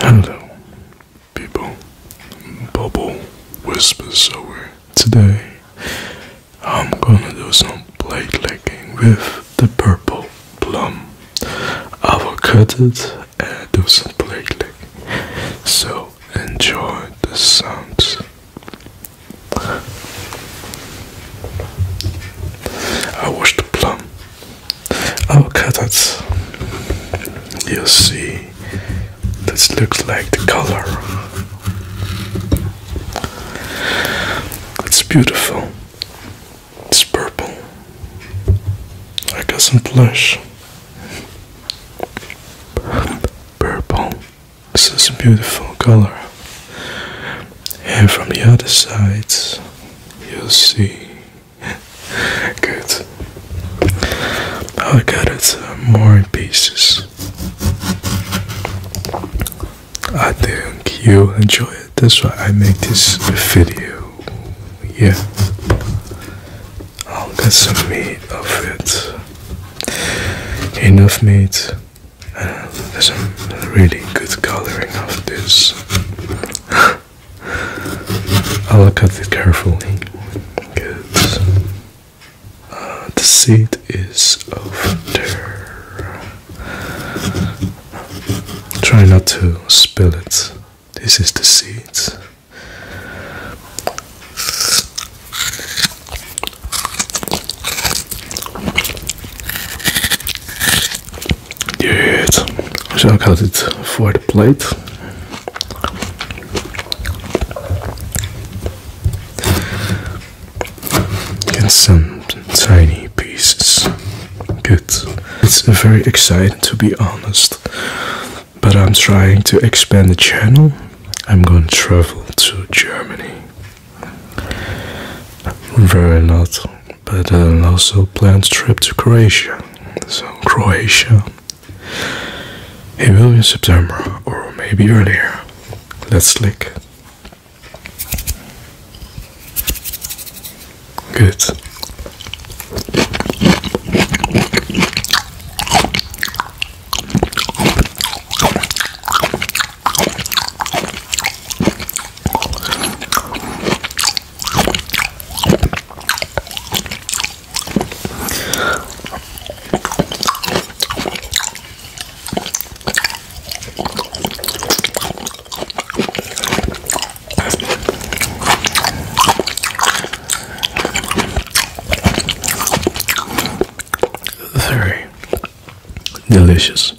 Hello, people. Bubble Whispers So Today, I'm gonna do some blade licking with the purple plum. I will cut it and do some blade licking. So, enjoy the sounds. I wash the plum Oh, carrots. You see, this looks like the color. It's beautiful. It's purple. I got some blush. Purple. This is a beautiful color. And from the other side, you see good. I'll get it more in pieces. I think you enjoy it. That's why I make this video. Yeah. I'll get some meat of it. Enough meat. there's some really good coloring of this. I'll cut at it carefully because uh, the seed is over there. Try not to spill it. This is the seed. Yes. So I cut it for the plate. And some tiny pieces. Good. It's very exciting to be honest. But I'm trying to expand the channel. I'm going to travel to Germany. Very not but um, also planned trip to Croatia. So Croatia, it will be in September or maybe earlier. Let's click. Good. Very delicious.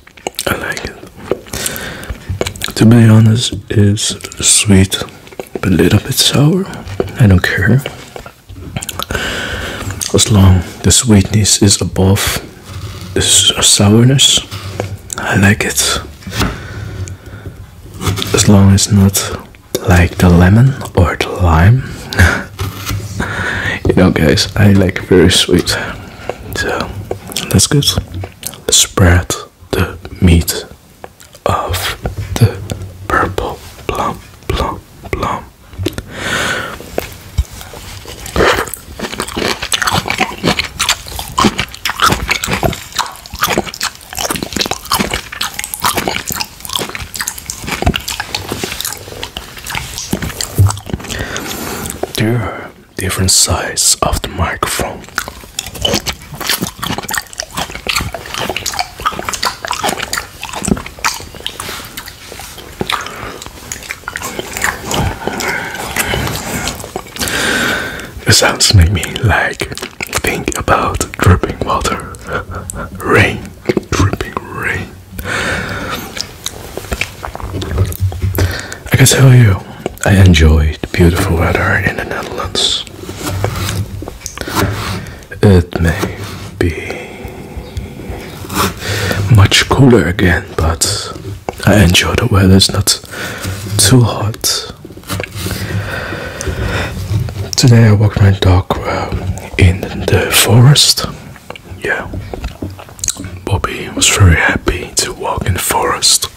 I like it. To be honest, it's sweet, but a little bit sour. I don't care. As long the sweetness is above the uh, sourness, I like it. As long as not like the lemon or the lime. you know, guys, I like very sweet. So let's go spread the meat of the purple plum, plum, plum. There different size of the microphone. The sounds make me like think about dripping water, rain, dripping rain. I can tell you, I enjoy the beautiful weather in the Netherlands. It may be much cooler again, but I enjoy the weather, it's not too hot. Today I walked my dog uh, in the forest yeah, Bobby was very happy to walk in the forest.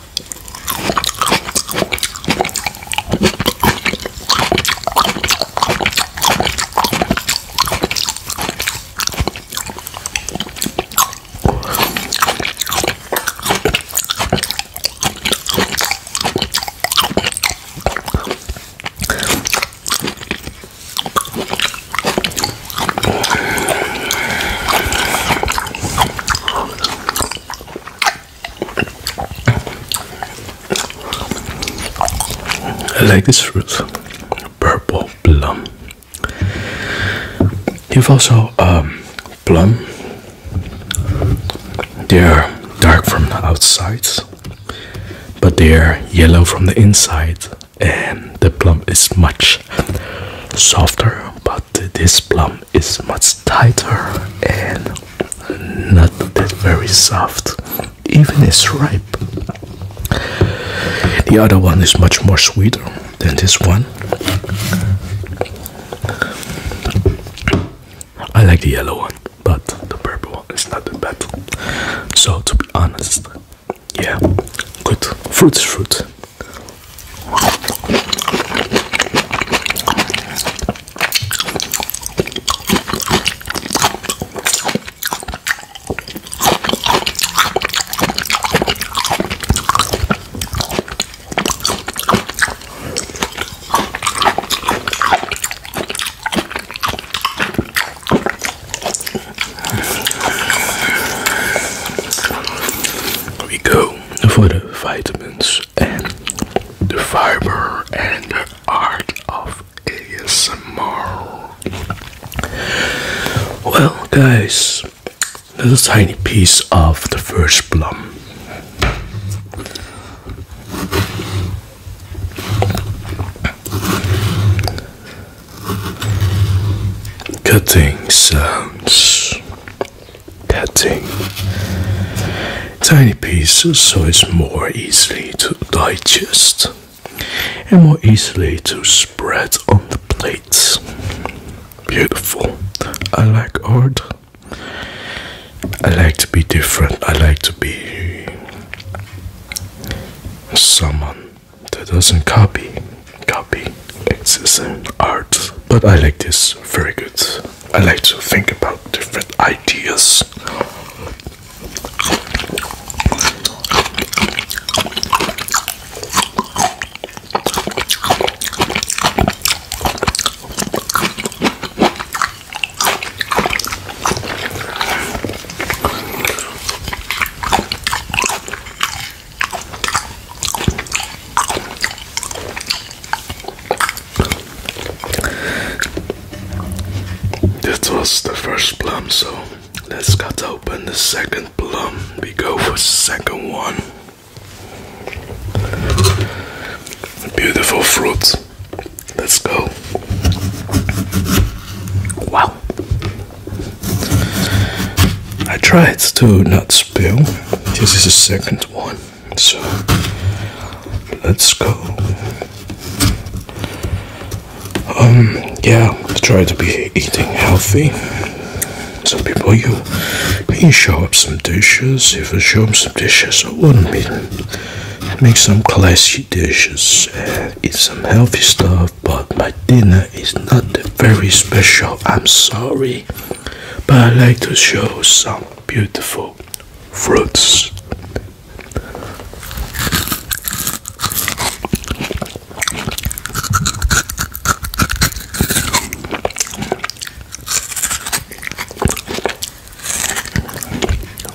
I like this fruit, purple plum. You've also um, plum. They are dark from the outside, but they are yellow from the inside and the plum is much softer but this plum is much tighter and not that very soft even it's ripe the other one is much more sweeter than this one I like the yellow one but the purple one is not that bad so to be honest yeah good Fruit fruits fruit we go for the vitamins and the fiber and the art of ASMR. Well, guys, little tiny piece of the first plum. Cutting sounds. Cutting tiny pieces so it's more easily to digest and more easily to spread on the plates. Beautiful. I like art. I like to be different. I like to be someone that doesn't copy copy it's an art but i like this very good i like to think about different ideas that was the first plum, so let's cut open the second plum. We go for the second one. Beautiful fruits. Let's go. Wow. I tried to not spill. This is the second one. So let's go. Um yeah, try to be eating healthy. Some people you can show up some dishes. If I show up some dishes, I wouldn't be make some classy dishes, uh, eat some healthy stuff, but my dinner is not very special. I'm sorry, but I like to show some beautiful fruits.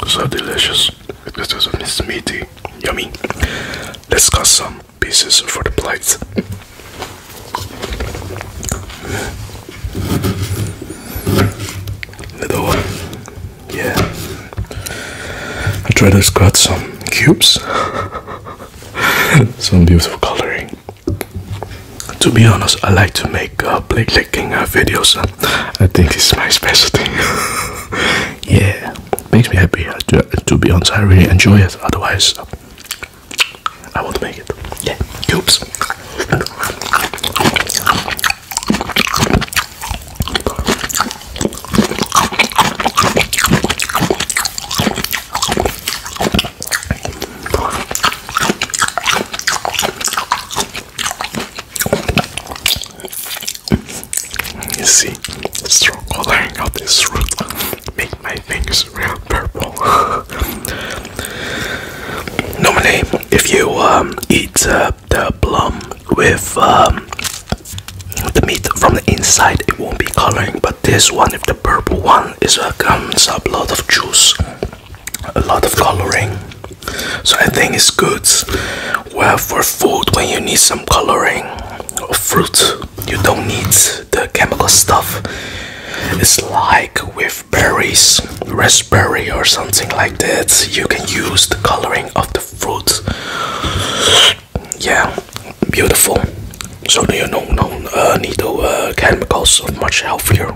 So delicious. This is meaty. Yummy. Let's cut some pieces for the plate. Little one. Yeah. I tried to cut some cubes. some beautiful coloring to be honest, I like to make uh, play clicking uh, videos. I think it's my specialty. yeah, makes me happy. Uh, to, be honest, I really enjoy it. Otherwise, I won't make it. Yeah, cubes. You see, strong coloring of this fruit make my fingers real purple. Normally, if you um, eat uh, the plum with um, the meat from the inside, it won't be coloring. But this one, if the purple one, is comes a lot of juice a lot of coloring so i think it's good well for food when you need some coloring or fruit you don't need the chemical stuff it's like with berries raspberry or something like that you can use the coloring of the fruit yeah beautiful so you don't, uh, need the uh, chemicals so much healthier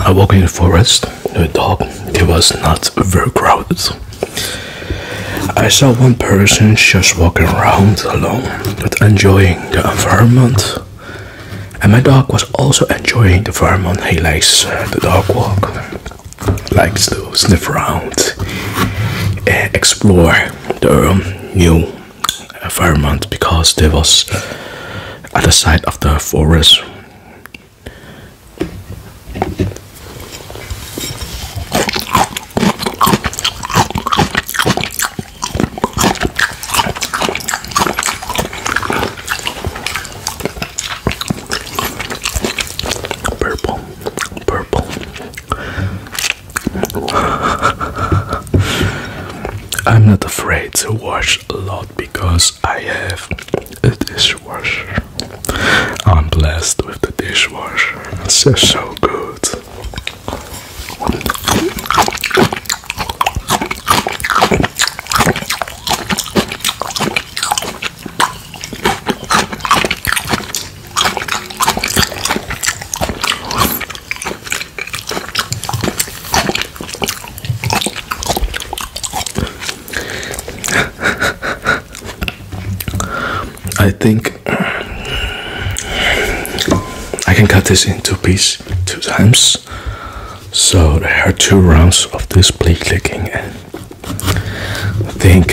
I walked in the forest. The dog it was not very crowded. I saw one person just walking around alone, but enjoying the environment. And my dog was also enjoying the environment. He likes uh, the dog walk, likes to sniff around, and eh, explore the um, new Environment because they was at the side of the forest. Purple, purple. I'm not afraid to wash a lot because I have a dishwasher. I'm blessed with the dishwasher. It's just so good. I think I can cut this into piece two times. So there are two rounds of this play clicking I think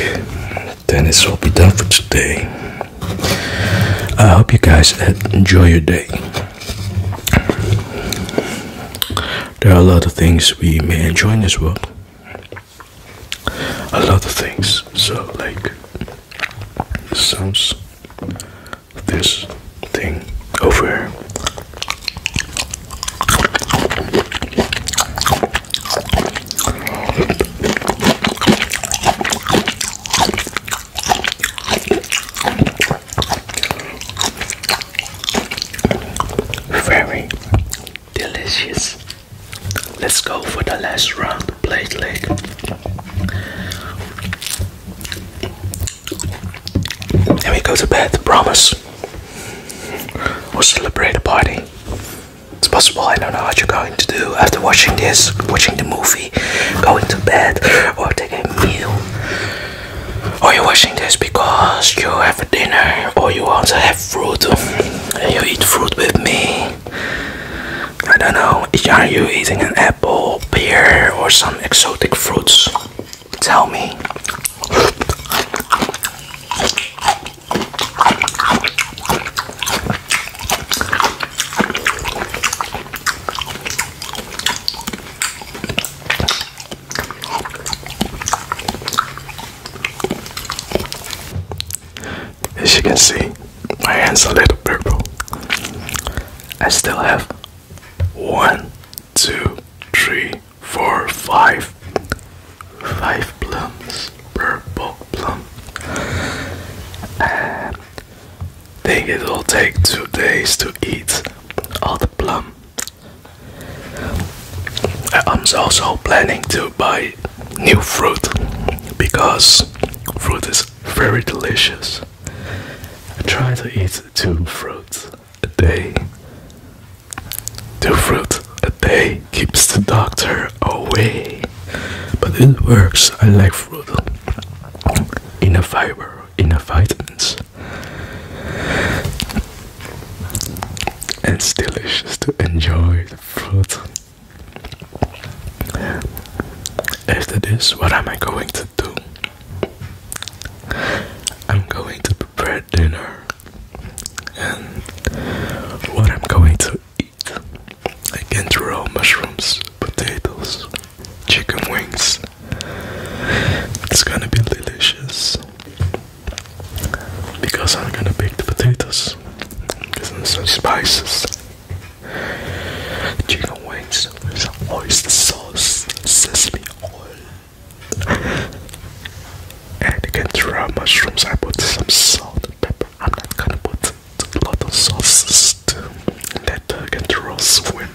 then this will be done for today. I hope you guys enjoy your day. There are a lot of things we may enjoy in this world. A lot of things. So, like, sounds this thing over here. Very delicious. Let's go for the last round, plate leg. And we go to bed, promise. We'll celebrate a party. It's possible, I don't know how you're going to do after watching this, watching the movie, going to bed, or taking a meal. Or you're watching this because you have a dinner or you want to have fruit and you eat fruit with me. I don't know, are you eating an apple, pear, or some exotic fruits? Tell me. As you can see, my hand's a little purple. I still have one, two, three, four, five, five plums, purple plum. Uh, Think it'll take two days to eat all the plum. I'm also planning to buy new fruit because fruit is very delicious. I try to eat two fruits a day. Two fruits a day keeps the doctor away. But it works. I like fruit. Inner fiber, inner vitamins. And it's delicious to enjoy the fruit. After this, what am I going to do? I'm going to prepare dinner, and what I'm going to eat. I can throw mushrooms, potatoes, chicken wings. It's gonna be delicious because I'm gonna bake the potatoes. with some spices. Chicken wings with some oyster sauce, sesame oil. And you can throw mushrooms. I put some salt pepper. I'm not gonna put a lot of sauces to let the control swim.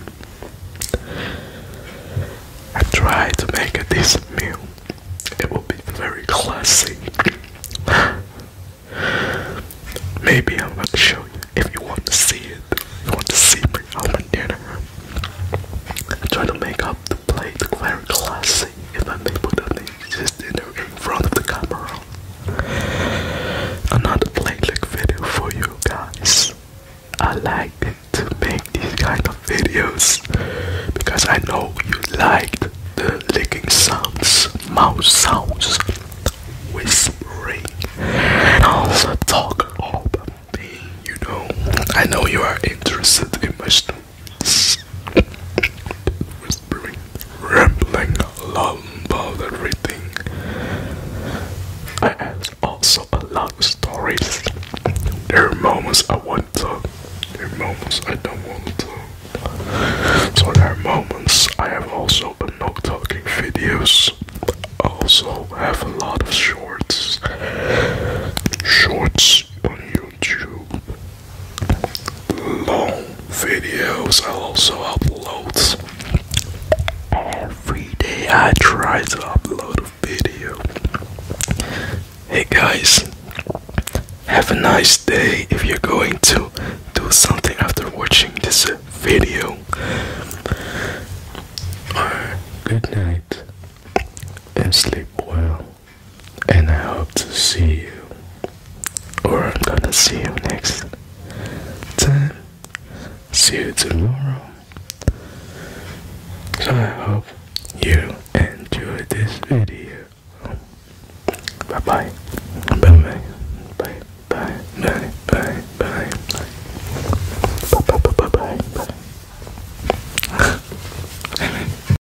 I try to make a decent meal. It will be very classy. Maybe I'm gonna show you if you want to see it. you want to see me on my dinner. I try to make up the plate very classy if I'm able to in, front of the camera. Another playback video for you guys. I like to make these kind of videos because I know you liked the licking sounds, mouse sounds, whispering, and also talk about me. You know, I know you are interested in my whispering, rambling, long about everything. I also a lot of stories. There are moments I want to talk, there are moments I don't want to So there are moments I have also been not talking videos. also have a lot of shorts. Shorts on YouTube long videos. I also upload every day. I try to upload a video. Hey guys, have a nice day if you're going to do something after watching this video. Good night and sleep well and I hope to see you, or I'm gonna see you next time. See you tomorrow. So I hope you enjoyed this video. Bye bye. Bye bye. Bye bye. Bye bye. Bye bye. Bye bye. Bye bye.